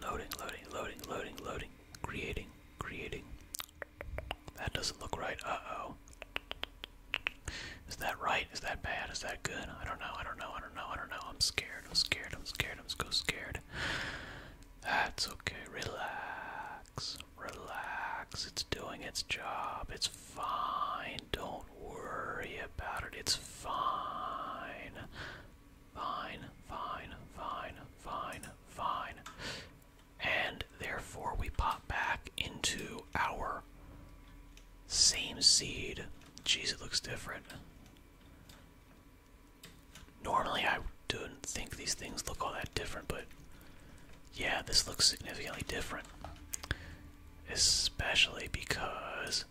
Loading, loading, loading, loading, loading. Creating, creating. That doesn't look right. Uh oh. Is that right? Is that bad? Is that good? I don't know. I don't know. I don't know. I don't know. I'm scared. I'm scared. I'm scared. I'm so scared. That's okay. Relax. Relax. It's doing its job. It's fine. Don't worry about it. It's fine. Fine, fine, fine, fine, fine. And therefore, we pop back into our same seed. Jeez, it looks different. Normally, I don't think these things look all that different, but yeah, this looks significantly different. Especially because,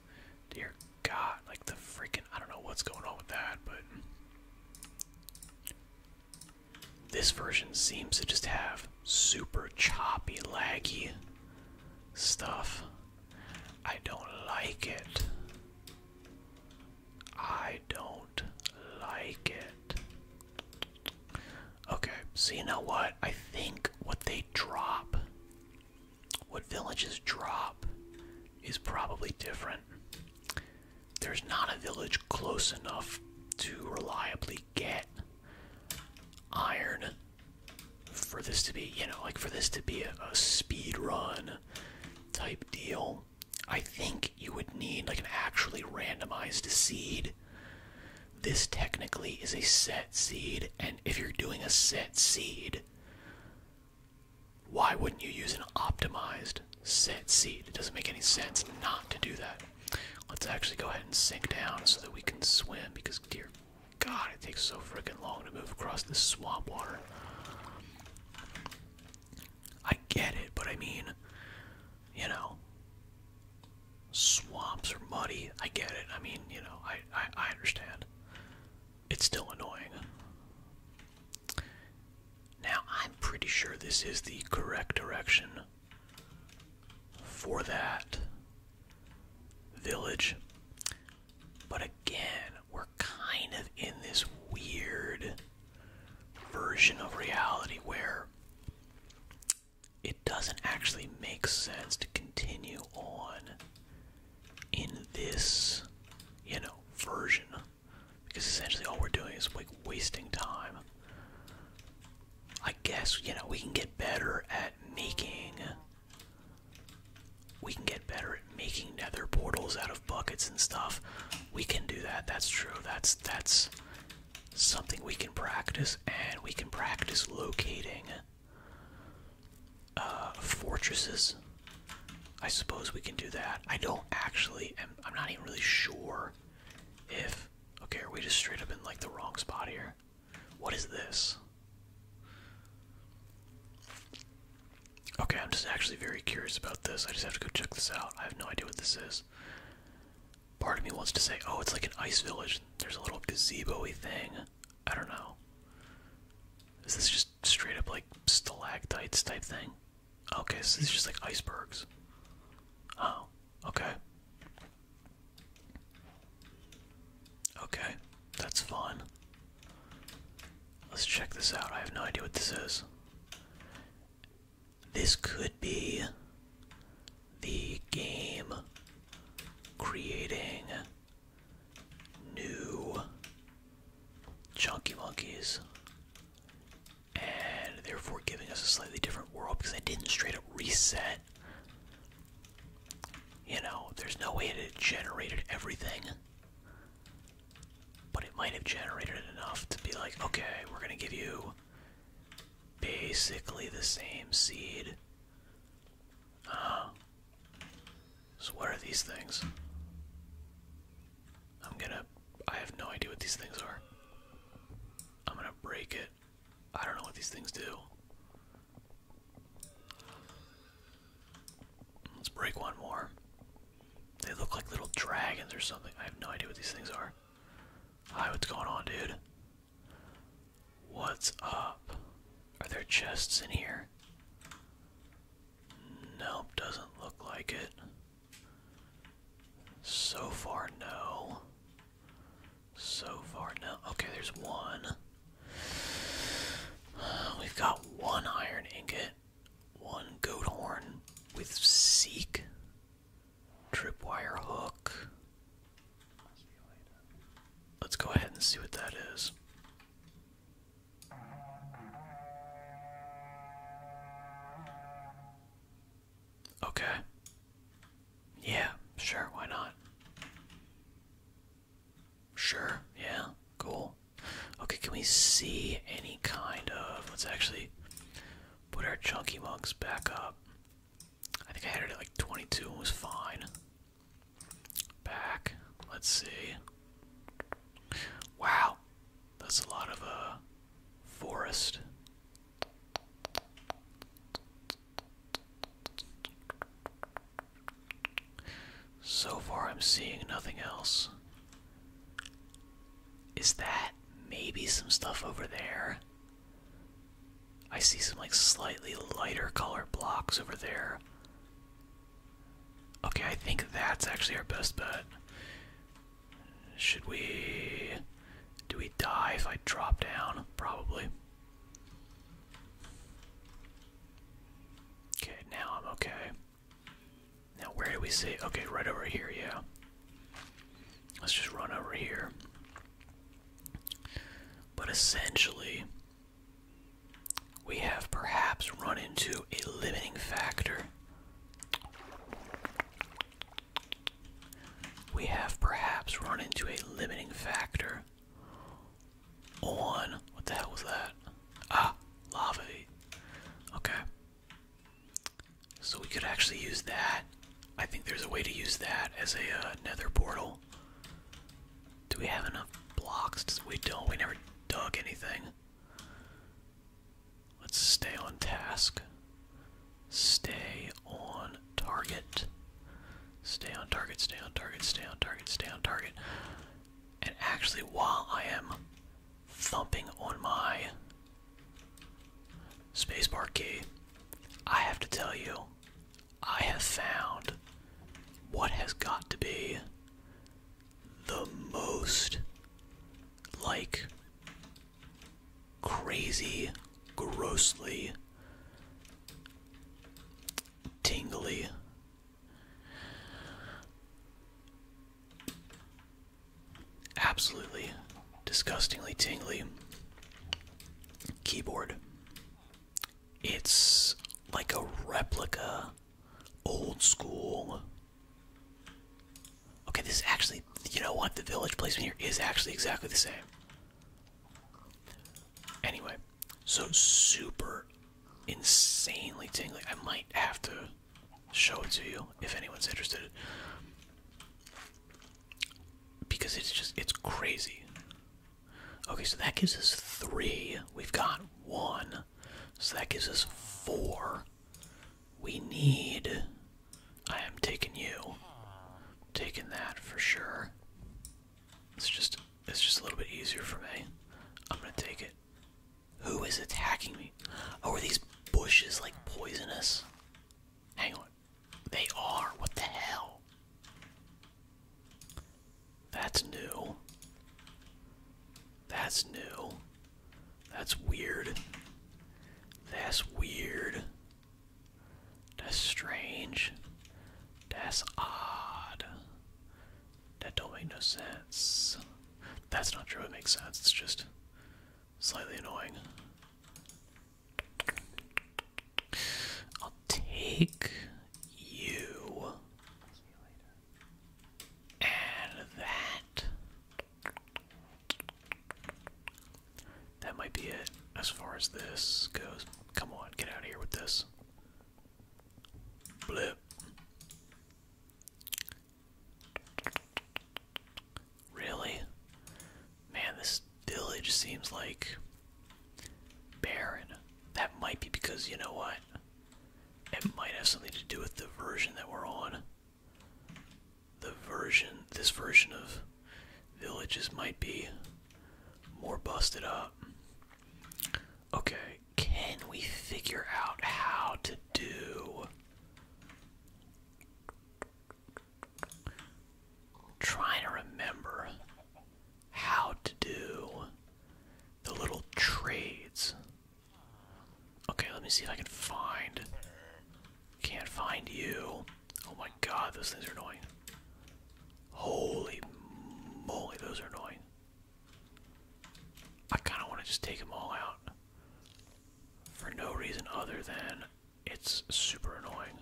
dear God, like the freaking, I don't know what's going on with that, but this version seems to just have super choppy, laggy stuff. I don't like it. I don't like it. Okay, so you know what? I think what they drop, what villages drop, is probably different. There's not a village close enough to reliably get iron for this to be, you know, like for this to be a speed run type deal. I think you would need like an actually randomized seed. This technically is a set seed, and if you're doing a set seed, why wouldn't you use an optimized set seed? It doesn't make any sense not to do that. Let's actually go ahead and sink down so that we can swim because, dear God, it takes so freaking long to move across this swamp water. I get it, but I mean, you know, swamps are muddy. I get it. I mean, you know, I, I, understand. It's still annoying. Now, I'm pretty sure this is the correct direction for that village. But again, we're kind of in this weird version of reality where it doesn't actually make sense to continue on in this, you know, version. Because essentially all we're doing is like wasting time. I guess, you know, we can get better at making we can get better at making nether portals out of buckets and stuff. We can do that, that's true. That's that's something we can practice, and we can practice locating uh, fortresses. I suppose we can do that. I don't actually, am, I'm not even really sure if. Okay, are we just straight up in like the wrong spot here? What is this? Okay, I'm just actually very curious about this. I just have to go check this out. I have no idea what this is. Part of me wants to say, oh, it's like an ice village. There's a little gazebo-y thing. I don't know. Is this just straight up like stalactites type thing? Okay, so it's just like icebergs. Oh, okay. Okay, that's fine. Let's check this out. I have no idea what this is. This could be the game creating new chunky monkeys and therefore giving us a slightly different world because I didn't straight up reset. You know, there's no way it generated everything. But it might have generated enough to be like, okay, we're gonna give you basically the same seed. so what are these things? I'm gonna. I have no idea what these things are. I'm gonna break it. I don't know what these things do. Let's break one more. They look like little dragons or something. I have no idea what these things are. Hi, what's going on, dude? What's up? Are there chests in here? Nope, doesn't look like it. So far, no. So far, no. Okay, there's one. we've got one iron ingot, one goat horn with seek. Tripwire hook. Let's go ahead and see what that is. Okay. Yeah, sure, why not? Sure, yeah, cool. Okay, can we see any kind of. Let's actually Put our chunky monks back up. I think I had it at like 22 was fine. Back. Let's see. Wow. That's a lot of uh forest. So far I'm seeing nothing else. Is that maybe some stuff over there? I see some like slightly lighter color blocks over there. Okay, I think that's actually our best bet. Should we. Do we die if I drop down? Probably. Okay, now I'm okay. Now, where do we see? Okay, right over here, yeah. Let's just run over here. But essentially, we have perhaps run into a limiting factor. We have perhaps run into a limiting factor on. What the hell was that? Ah, lava. Okay. So we could actually use that. I think there's a way to use that as a uh, nether portal. Do we have enough blocks? We don't. We never dug anything. Let's stay on task. Stay on target. Stay on target, stay on target, stay on target, stay on target. And actually, while I am thumping on my spacebar key, I have to tell you, I have found what has got to be the most like crazy, grossly tingly absolutely disgustingly tingly keyboard. It's like a replica, old school. Okay, this is actually, you know what? The village placement here is actually exactly the same. Anyway, so super insanely tingly. I might have to show it to you if anyone's interested. Because it's just, it's crazy. Okay, so that gives us three. We've got one. So that gives us four. We need. I am taking you. Taking that for sure. It's just it's just a little bit easier for me. I'm gonna take it. Who is attacking me? Oh, are these bushes like poisonous? Hang on. They are. What the hell? That's new. That's new. That's weird. That's weird. That's strange. That's odd. That don't make no sense. That's not true, it makes sense. It's just Slightly annoying. I'll take you. And that. That might be it as far as this goes. Come on, get out of here with this. Blip. Really? Man, this village seems like barren. That might be because, you know what? It might have something to do with the version that we're on. The version, this version of villages might be more busted up. Okay, can we figure out how to do Trying to remember how to do the little trades. Okay, let me see if I can find. Can't find you. Oh my god, those things are annoying. Holy moly, those are annoying. I kind of want to just take them all out for no reason other than it's super annoying.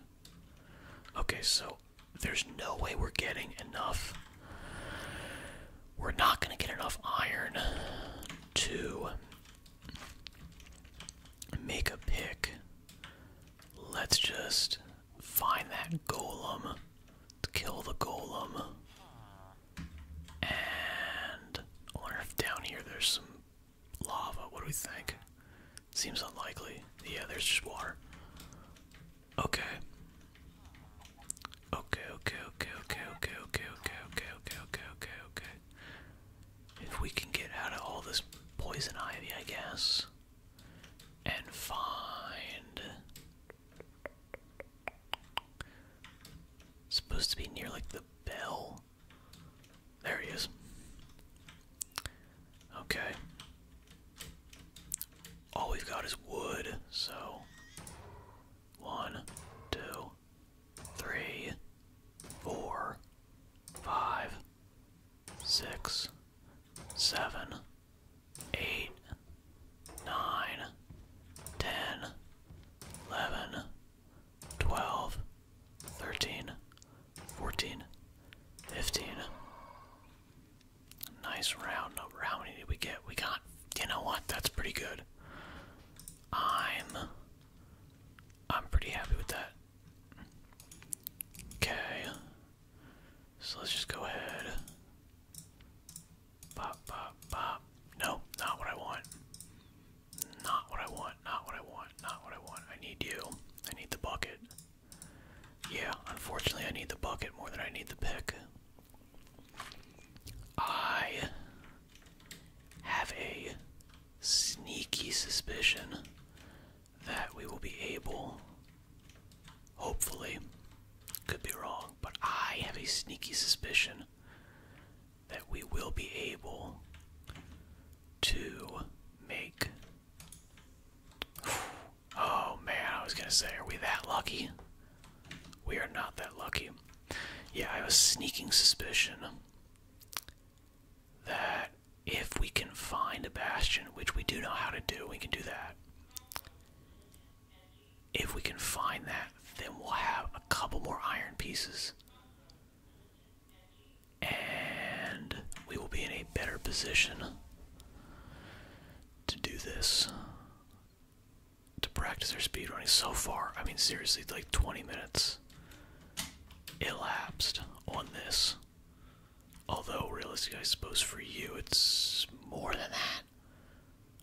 Okay, so there's no way we're getting enough. We're not going to get enough iron to make a pick. Let's just find that golem. Kill the golem. And I wonder if down here there's some lava. What do we think? Seems unlikely. Yeah, there's just water. Okay. Okay, okay, okay, okay, okay, okay, okay, okay, okay, okay, okay, okay. If we can get out of all this poison ivy, I guess, and find supposed to be near like the bell. There he is. Okay. All we've got is wood, so one, two, three, four, five, six, seven, eight, 9, Nice round number. How many did we get? We got, you know what? That's pretty good. I'm, I'm pretty happy with that. Okay. So let's just go ahead Bop, bop, bop. No, not what I want. Not what I want, not what I want, not what I want. I need you. I need the bucket. Yeah, unfortunately, I need the bucket more than I need the pick. I have a sneaky suspicion that we will be able, hopefully, could be wrong, but I have a sneaky suspicion that we will be able to make. Oh man, I was gonna say, are we that lucky? We are not that lucky. Yeah, I have a sneaking suspicion that if we can find a bastion, which we do know how to do, we can do that. If we can find that, then we'll have a couple more iron pieces. And we will be in a better position to do this. To practice our speed running, So far, I mean, seriously, like 20 minutes elapsed on this. Although, realistically, I suppose for you it's more than that.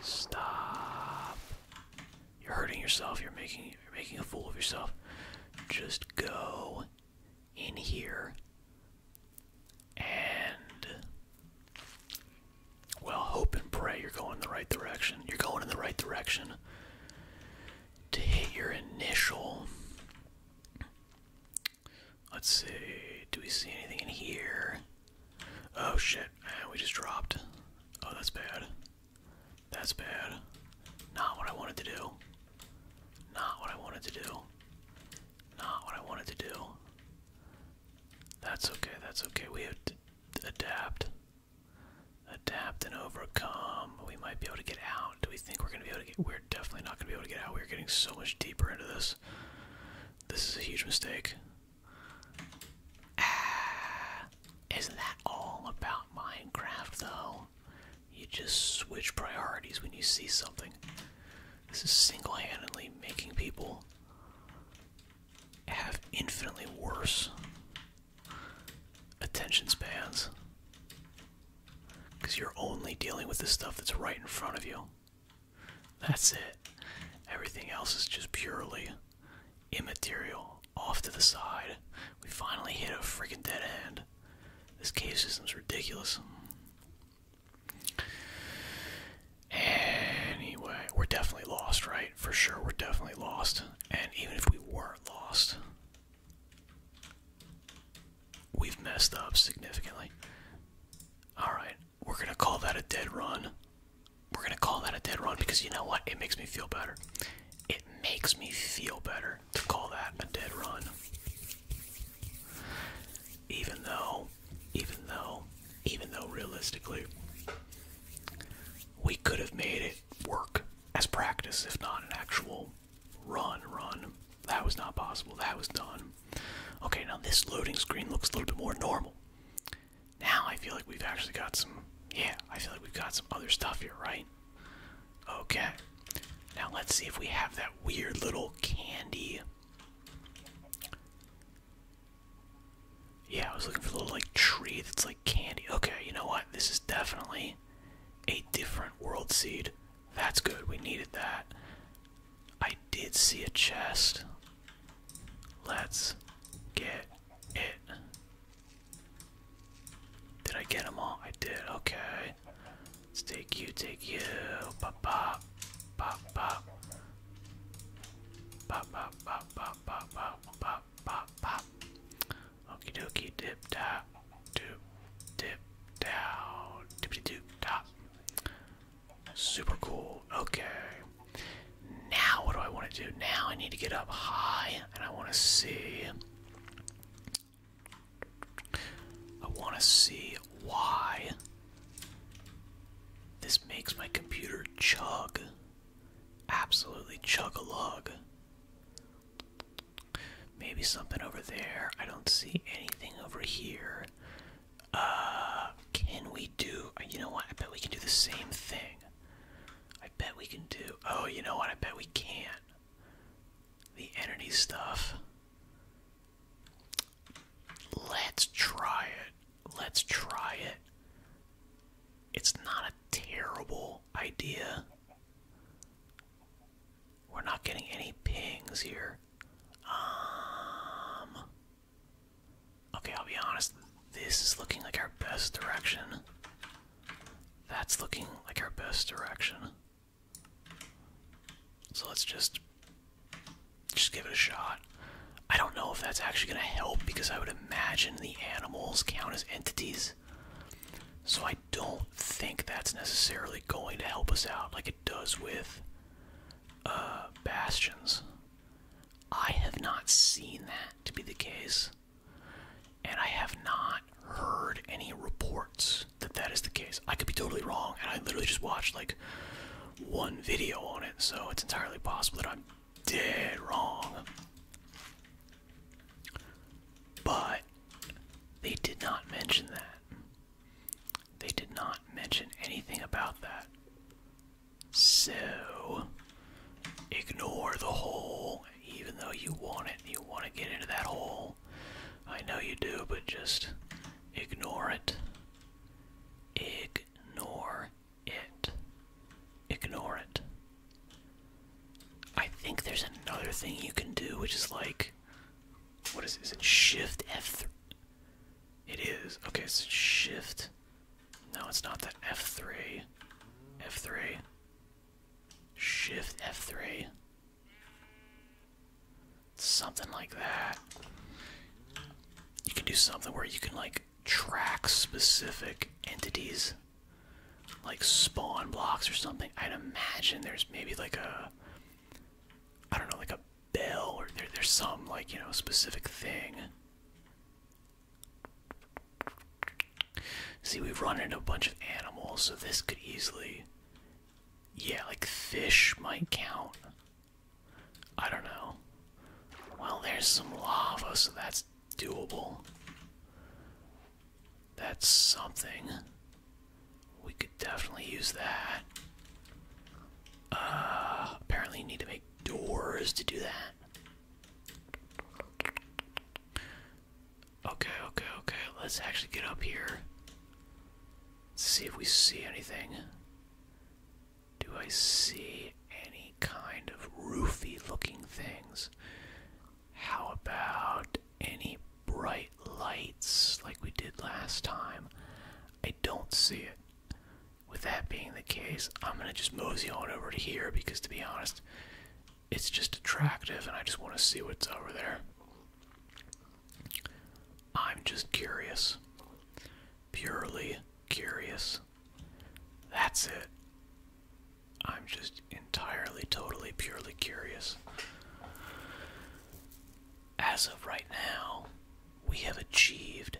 Stop. You're hurting yourself. You're making you're making a fool of yourself. Just go in here and well, hope and pray you're going in the right direction. You're going in the right direction to hit your initial Let's see. Do we see anything in here? Oh shit. Ah, we just dropped. Oh, that's bad. That's bad. Not what I wanted to do. Not what I wanted to do. Not what I wanted to do. That's okay. That's okay. We have to adapt. Adapt and overcome. We might be able to get out. Do we think we're going to be able to get... We're definitely not going to be able to get out. We're getting so much deeper into this. This is a huge mistake. Ah, isn't that all about Minecraft, though? You just switch priorities when you see something. This is single handedly making people have infinitely worse attention spans. Because you're only dealing with the stuff that's right in front of you. That's it. Everything else is just purely immaterial. Off to the side. We finally hit a freaking dead end. This cave system's ridiculous. Anyway, we're definitely lost, right? For sure, we're definitely lost. And even if we weren't lost, we've messed up significantly. Alright, we're gonna call that a dead run. We're gonna call that a dead run because you know what? It makes me feel better. It makes me feel better to call that a dead run. Even though, even though, even though realistically, we could have made it work as practice, if not an actual run, run. That was not possible. That was done. Okay, now this loading screen looks a little bit more normal. Now I feel like we've actually got some, yeah, I feel like we've got some other stuff here, right? Okay, now let's see if we have that weird little candy. Yeah, I was looking for a little like tree that's like candy. Okay, you know what? This is definitely a different world seed. That's good. We needed that. I did see a chest. Let's get it. Did I get them all? I did. Okay. Let's take you, take you. Pop, pop, pop, pop. Pop, pop, pop, pop, pop, pop, pop, pop, pop. Okie dokie, dip, dap, doop, dip, down, dippity doop, dop. Super cool. Okay. Now what do I want to do? Now I need to get up high and I want to see. I want to see why this makes my computer chug. Absolutely chug a lug. Maybe something over there. I don't see anything over here. Uh, can we do? Uh, you know what? I bet we can do the same thing. I bet we can do. Oh, you know what? I bet we can. The entity stuff. Let's try it. Let's try it. It's not a terrible idea. We're not getting any pings here. Um, Okay, I'll be honest. This is looking like our best direction. That's looking like our best direction. So let's just just give it a shot. I don't know if that's actually going to help because I would imagine the animals count as entities. So I don't think that's necessarily going to help us out like it does with uh, bastions. I have not seen that to be the case, and I have not heard any reports that that is the case. I could be totally wrong, and I literally just watched like one video on it, so it's entirely possible that I'm dead wrong. But they did not mention that. They did not mention anything about that. So, ignore the hole, even though you want it, you want to get into that hole. I know you do, but just ignore it. Ignore it. Ignore it. I think there's another thing you can do, which is like, what is, is it? Shift F. It is. Okay, so shift. No, it's not the F3. F3. Shift F3. Something like that. You can do something where you can, like, track specific entities. Like spawn blocks or something. I'd imagine there's maybe like a. I don't know, like a bell or there's some like you know specific thing see we've run into a bunch of animals so this could easily yeah like fish might count i don't know well there's some lava so that's doable that's something we could definitely use that. Uh, apparently, you need to make doors to do that. Okay, okay, okay. Let's actually get up here. see if we see anything. Do I see any kind of roofy looking things? How about any bright lights like we did last time? I don't see it. With that being the case, I'm gonna just mosey on over to here because, to be honest, it's just attractive and I just want to see what's over there. I'm just curious. Purely curious. That's it. I'm just entirely, totally, purely curious as of right now, we have achieved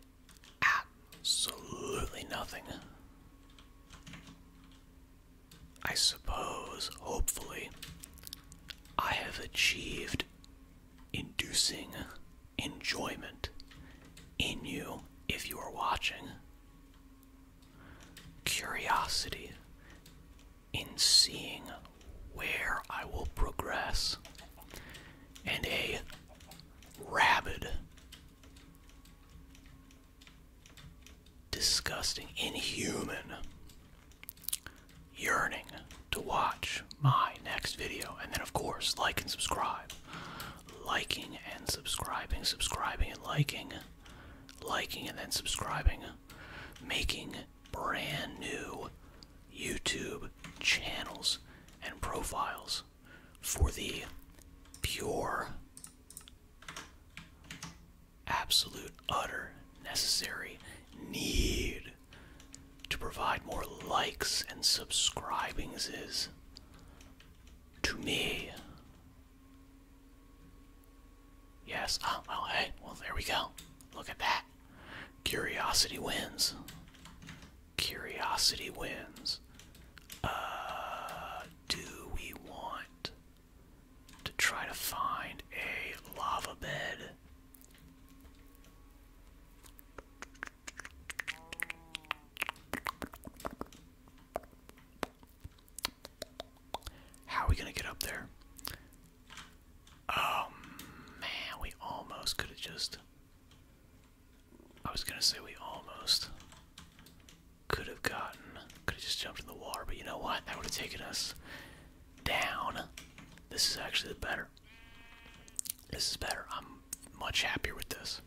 absolutely nothing. I suppose, hopefully, I have achieved inducing enjoyment in you if you are watching, curiosity in seeing where I will progress, and a rabid, disgusting, inhuman yearning to watch my next video. And then, of course, like and subscribe. Liking and subscribing, subscribing and liking, liking and then subscribing, making brand new YouTube channels and profiles for the pure, absolute, utter, necessary need to provide more likes and subscribings is to me. Yes. Oh, well, hey, well, there we go. Look at that. Curiosity wins. Curiosity wins. Uh, do we want to try to find a lava bed? How are we going to get up there? Oh man, we almost could have just. I was gonna say we almost could have gotten. Could have just jumped in the water, but you know what? That would have taken us down. This is actually better. This is better. I'm much happier with this.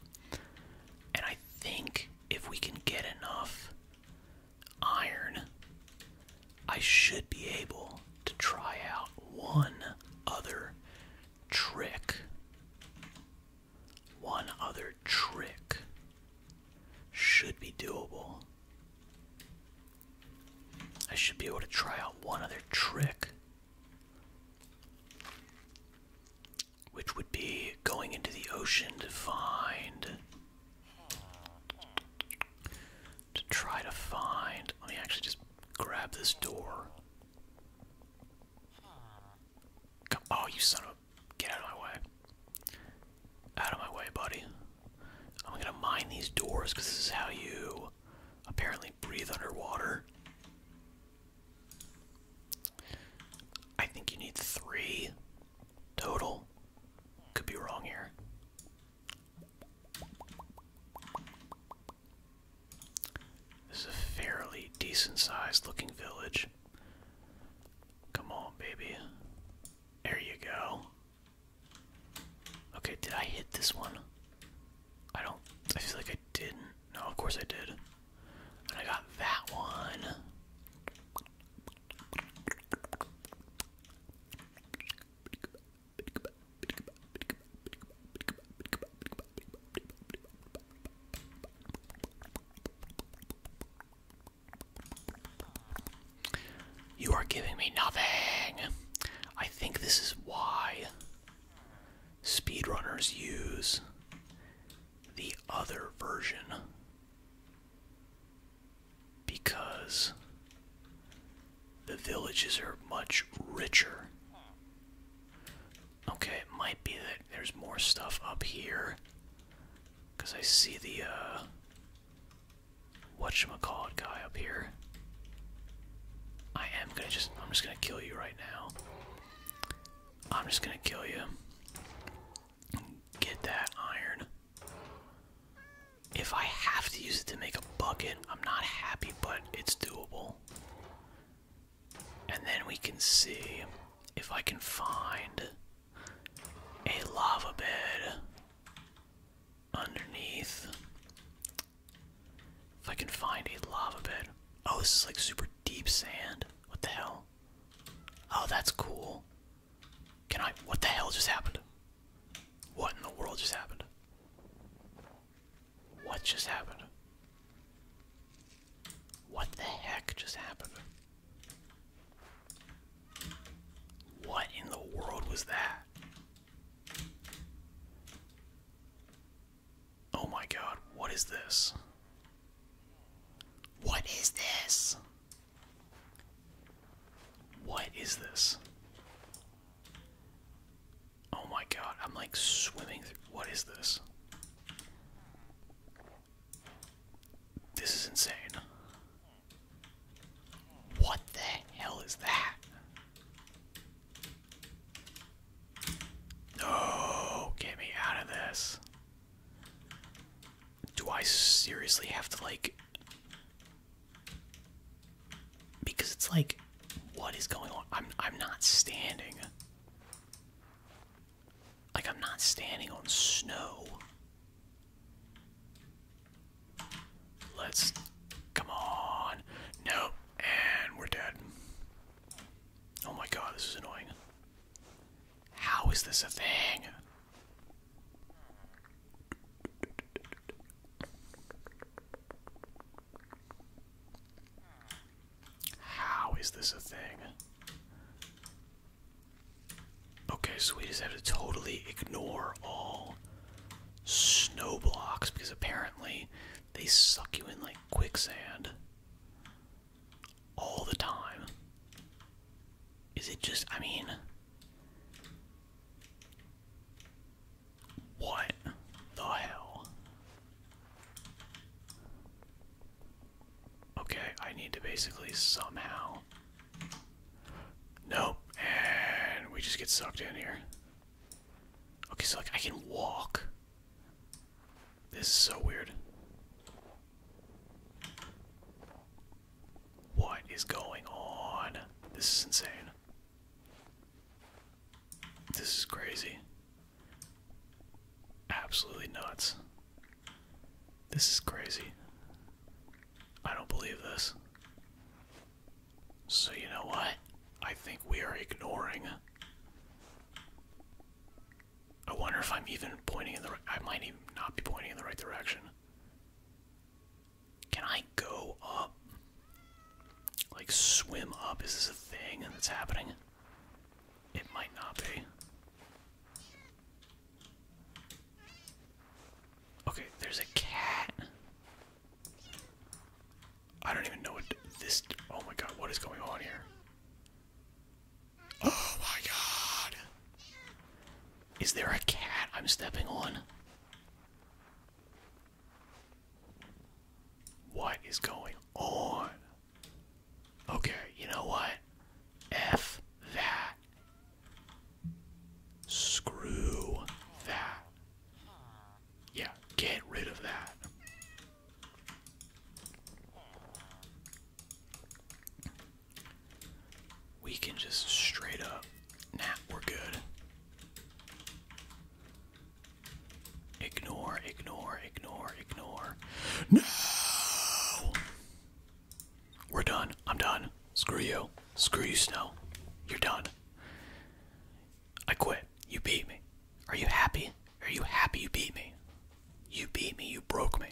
And I think if we can get enough iron, I should be able to try out one other trick. One other trick should be doable. I should be able to try out one other trick, which would be going into the ocean to find to try to find. Let me actually just grab this door. oh, you son of a. Get out of my way. Out of my way, buddy. I'm gonna mine these doors because this is how you apparently breathe underwater. I think you need three total. Could be wrong here. This is a fairly decent sized looking village. Come on, baby. There you go. Okay, did I hit this one? I don't. I feel like I didn't. No, of course I did. And I got that one. You are giving me nothing. I think this is why speedrunners use the other version because the villages are much richer. Okay, it might be that there's more stuff up here. Because I see the, uh. Whatchamacallit guy up here. I am gonna just. I'm just gonna kill you right now. I'm just gonna kill you. Get that iron. If I have to use it to make a bucket, I'm not happy, but it's doable. And then we can see if I can find a lava bed underneath. If I can find a lava bed. Oh, this is like super deep sand. What the hell? Oh, that's cool. Can I? What the hell just happened? What in the world just happened? What just happened? What the heck just happened? What in the world was that? Oh my god, what is this? What is this? What is this? Oh my god, I'm like swimming through. What is this? This is insane. What the hell is that? No, get me out of this. Do I seriously have to like because it's like, what is going on? I'm I'm not standing. Like I'm not standing on snow. Let's come on. Nope. And we're dead. Oh my god, this is annoying. How is this a thing? How is this a thing? Okay, so we just have to totally ignore all snow blocks because apparently they suck you in like quicksand all the time. Is it just, I mean, what the hell? Okay, I need to basically somehow. Nope, and we just get sucked in here. Okay, so like I can walk. This is so weird. What is going on? This is insane. This is crazy. Absolutely nuts. This is crazy. I don't believe this. So, you know what? I think we are ignoring. I wonder if I'm even pointing in the right. I might even not be pointing in the right direction. Can I go up? Like, swim up? Is this a thing And it's happening? It might not be. Okay, there's a cat. I don't even know what this. Oh my god, what is going on here? Oh my god! Is there a cat I'm stepping on? What is going on? Okay, you know what? F that. Screw that. Yeah, get rid of that. We can just straight up. Nah, we're good. Ignore, ignore, ignore, ignore. No! We're done. I'm done. Screw you. Screw you, Snow. You're done. I quit. You beat me. Are you happy? Are you happy you beat me? You beat me. You broke me.